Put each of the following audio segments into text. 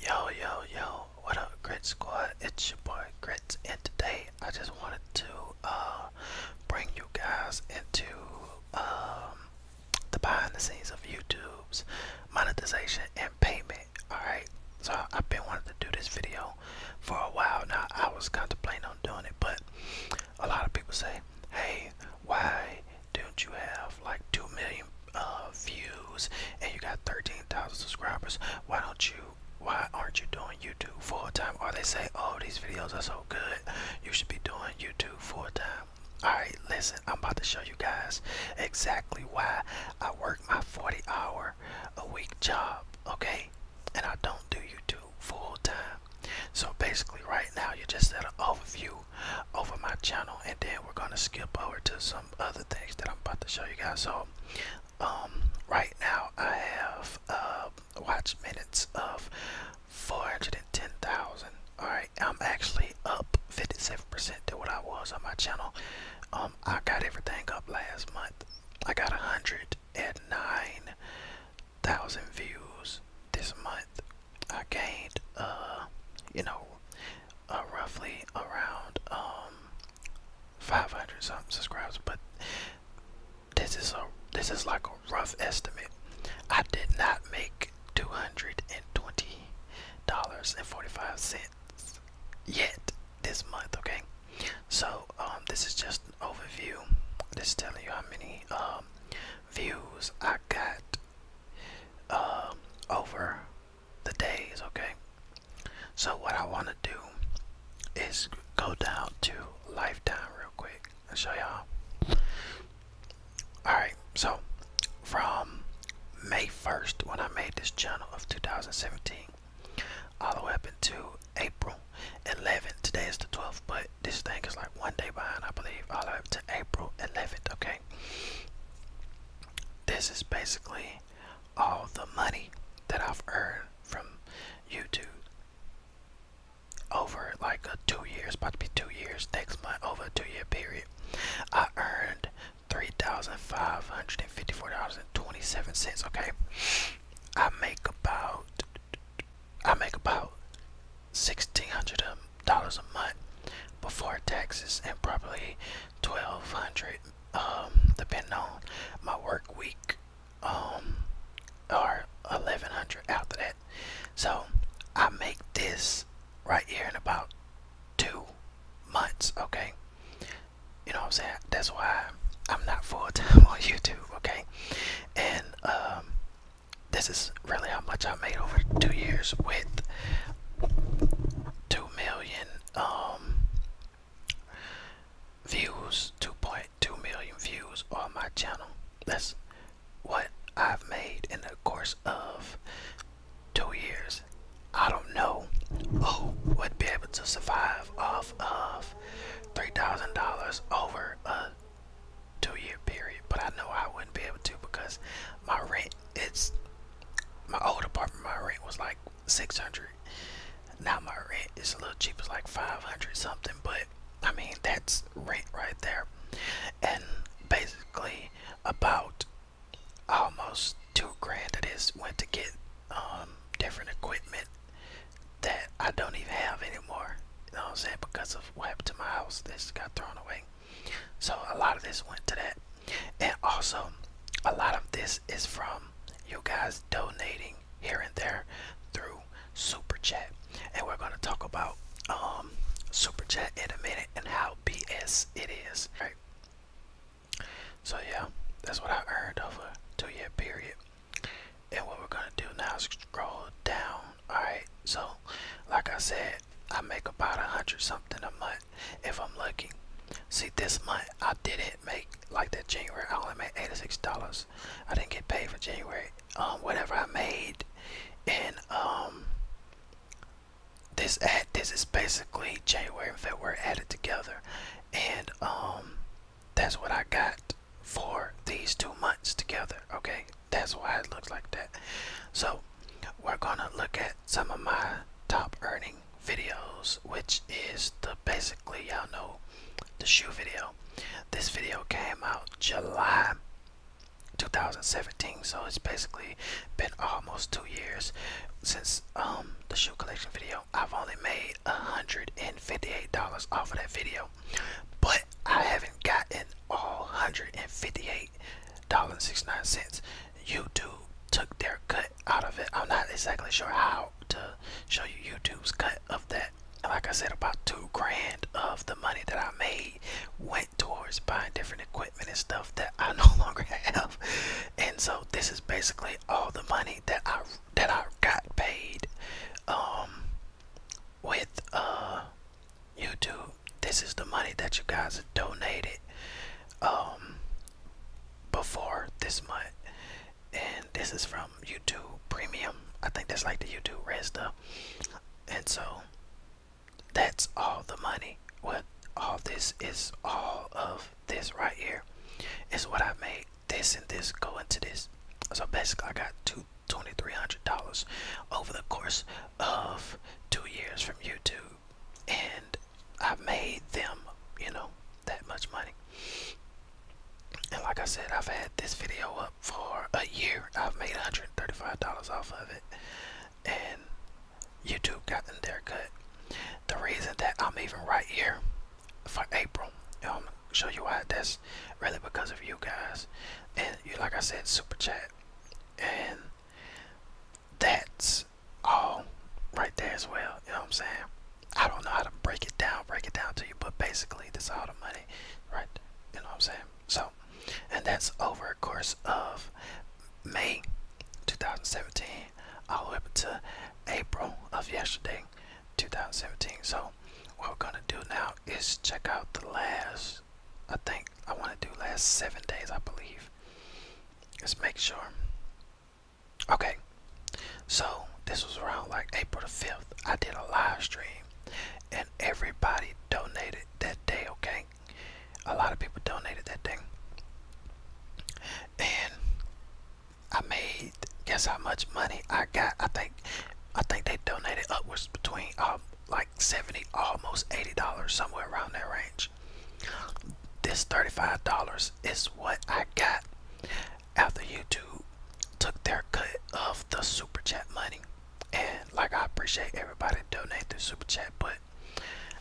Yo, yo, yo, what up, Grit Squad? It's your boy Grits, and today I just wanted to uh, bring you guys into um, the behind the scenes of YouTube's monetization and payment. Alright, so I've been wanting to do this video for a while now. I was contemplating on doing it, but a lot of people say, hey, why don't you have like 2 million uh, views and you got 13,000 subscribers why don't you why aren't you doing YouTube full-time or they say oh these videos are so good you should be doing YouTube full-time alright listen I'm about to show you guys exactly why I work my 40 hour a week job okay and I don't do YouTube full-time so basically right now you just at an overview over my channel and then we're gonna skip over to some other things that I'm about to show you guys. So um, right now I have uh, watch minutes of 410,000. Alright, I'm actually up 57% to what I was on my channel. Um, I got everything up last month. I got a hundred and nine thousand views this month I gained, uh, you know, uh, roughly around um 500 something subscribers, but this is a this is like a rough estimate. I did not make two hundred and twenty dollars and forty five cents yet this month. Okay, so um, this is just an overview. This is telling you how many um, views I got um, over the days, okay? So, what I want to do is go down to lifetime real quick and show y'all. Alright, so from May 1st, when I made this channel of 2017, all the way up until April 11th, today is the 12th, but this thing is like one day behind, I believe, all the way up to April 11th, okay? This is basically all the money that I've earned from YouTube over like a two years, about to be two years next month, over a two year period. I earned three thousand five hundred and fifty four dollars and twenty seven cents. Okay, I make about I make about sixteen hundred a dollars a month before taxes and probably 1200 um depending on my work week um or 1100 after that so i make this right here in about two months okay you know what i'm saying that's why i'm not full-time on youtube okay and um this is really how much I made over two years with two million um views, two point two million views on my channel. That's what I've made in the course of two years. I don't know who would be able to survive off of three thousand dollars over a two year period, but I know I wouldn't be able to because my rent it's my old apartment my rent was like 600 now my rent is a little cheaper, like 500 something but I mean that's rent right there and basically about almost two grand of this went to get um, different equipment that I don't even have anymore you know what I'm saying, because of what happened to my house. This got thrown away. So a lot of this went to that. And also, a lot of this is from you guys donating here and there through Super Chat. And we're going to talk about um, Super Chat in a minute and how BS it is. Right? So, yeah, that's what I earned over a two year period and what we're gonna do now is scroll down all right so like i said i make about a hundred something a month if i'm lucky see this month i didn't make like that january i only made 86 dollars i didn't get paid for january um whatever i made and um this ad this is basically january and february added together and um that's what I got for these two months together. Okay, that's why it looks like that. So, we're gonna look at some of my top earning videos, which is the basically y'all know the shoe video. This video came out July 2017, so it's basically been almost two years since um the shoe collection video. I've only made $158 off of that video. But I haven't gotten all $158.69. YouTube took their cut out of it. I'm not exactly sure how to show you YouTube's cut of that. Like I said, about two grand of the money that I made went towards buying different equipment and stuff that I no longer have. And so this is basically all the money that I that I got paid um, with uh, YouTube. This is the money that you guys donated um, before this month. And this is from YouTube Premium. I think that's like the YouTube Red stuff. And so that's all the money. What all this is all of this right here is what I made this and this go into this so basically i got two twenty three hundred dollars over the course of two years from youtube and i made them you know that much money and like i said i've had this video up for a year i've made 135 dollars off of it and youtube got in their cut the reason that i'm even right here for April. I'm um, gonna show you why that's really because of you guys. And you like I said, super chat. And that's all right there as well. You know what I'm saying? I don't know how to break it down, break it down to you, but basically this all the money, right? You know what I'm saying? So and that's over a course of May 2017 all the way up to April of yesterday 2017. So what we're gonna do now is check out the last. I think I want to do last seven days. I believe. Let's make sure. Okay. So this was around like April the 5th. I did a live stream, and everybody donated that day. Okay. A lot of people donated that day. And I made guess how much money I got. I think I think they donated upwards between um, like 70 almost 80 dollars somewhere around that range. This 35 dollars is what I got after YouTube took their cut of the super chat money. And like I appreciate everybody donate through super chat, but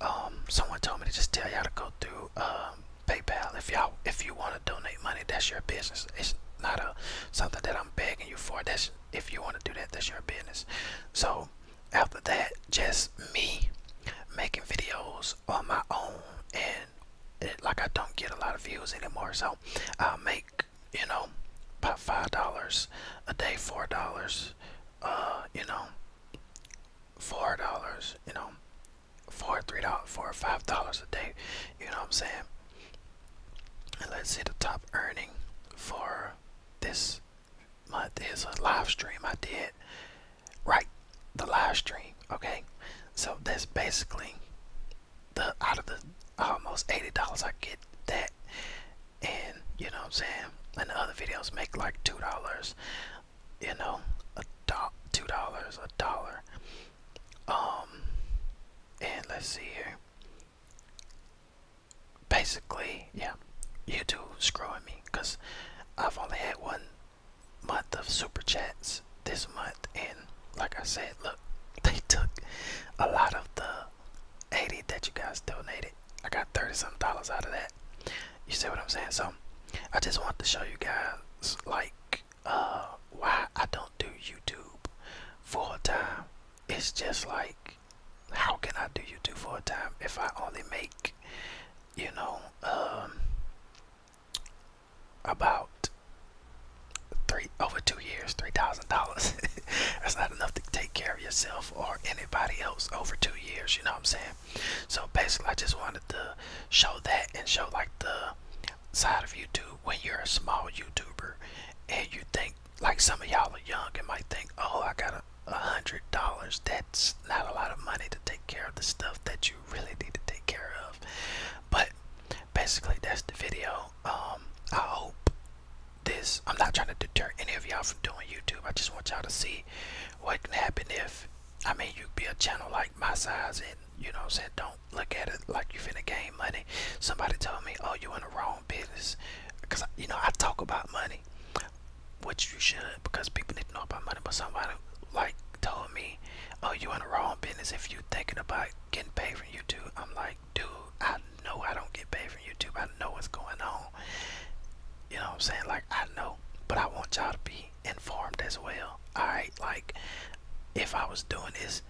um someone told me to just tell y'all to go through um PayPal. If y'all, if you want to donate money, that's your business. It's not a something that I'm begging you for. That's if you want to do that, that's your business. So after that, just me making videos on my own, and it, like I don't get a lot of views anymore, so I'll make you know about five dollars a day, four dollars, uh, you know, four dollars, you know, four three dollars four or five dollars a day you know what i'm saying and let's see the top earning for this month is a live stream i did right the live stream okay so that's basically the out of the almost eighty dollars i get that and you know what i'm saying and the other videos make like two dollars you know, a two dollars, a dollar. Um, and let's see here. Basically, yeah, YouTube screwing me because I've only had one month of super chats this month, and like I said, look, they took a lot of the 80 that you guys donated. I got 30 something dollars out of that. You see what I'm saying? So I just want to show you guys like uh why I don't do YouTube full time. It's just like how can I do YouTube full time if I only make you know um about three over two years three thousand dollars that's not enough to take care of yourself or anybody else over two years you know what i'm saying so basically i just wanted to show that and show like the side of youtube when you're a small youtuber and you think like some of y'all are young and might think oh i got a hundred dollars that's not a lot of money to take care of the stuff that you really need to take care of but basically that's the video um i hope this i'm not trying to deter any of y'all from doing youtube i just want y'all to see what can happen if I mean you be a channel like my size and you know what I'm saying don't look at it like you finna gain money. Somebody told me, oh you in the wrong business because you know I talk about money, which you should because people need to know about money. But somebody like told me, oh you in the wrong business if you thinking about getting paid from YouTube. I'm like, dude, I know I don't get paid from YouTube. I know what's going on. You know what I'm saying? Like I know, but I want y'all to be informed as well. Alright, like if I was doing this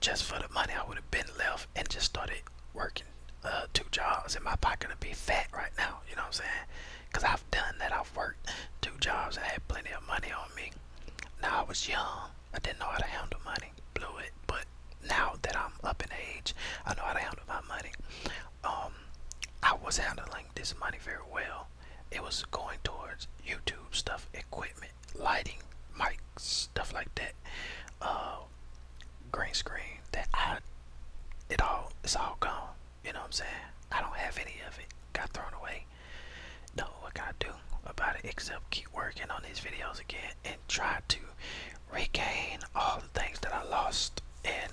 just for the money I would have been left and just started working uh, two jobs in my pocket to be fat right now, you know what I'm saying? Cause I've done that. I've worked two jobs and had plenty of money on me. Now I was young. I didn't know how to handle money. Blew it. But now that I'm up in age, I know how to handle my money um, I was handling this money very well. It was going towards YouTube stuff, equipment, lighting, mics, stuff like that, uh, green screen. That I, it all, it's all gone. You know what I'm saying? I don't have any of it. Got thrown away. No, what can I do about it except keep working on these videos again and try to regain all the things that I lost and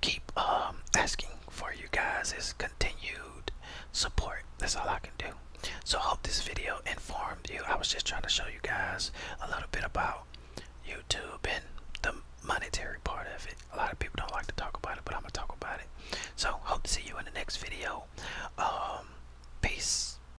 keep um, asking for you guys is continued support. That's all I can do. So hope this video informed you. I was just trying to show you guys a little bit about YouTube and the monetary part of it. A lot of people don't like to talk about it, but I'm gonna talk about it. So hope to see you in the next video. Um, peace.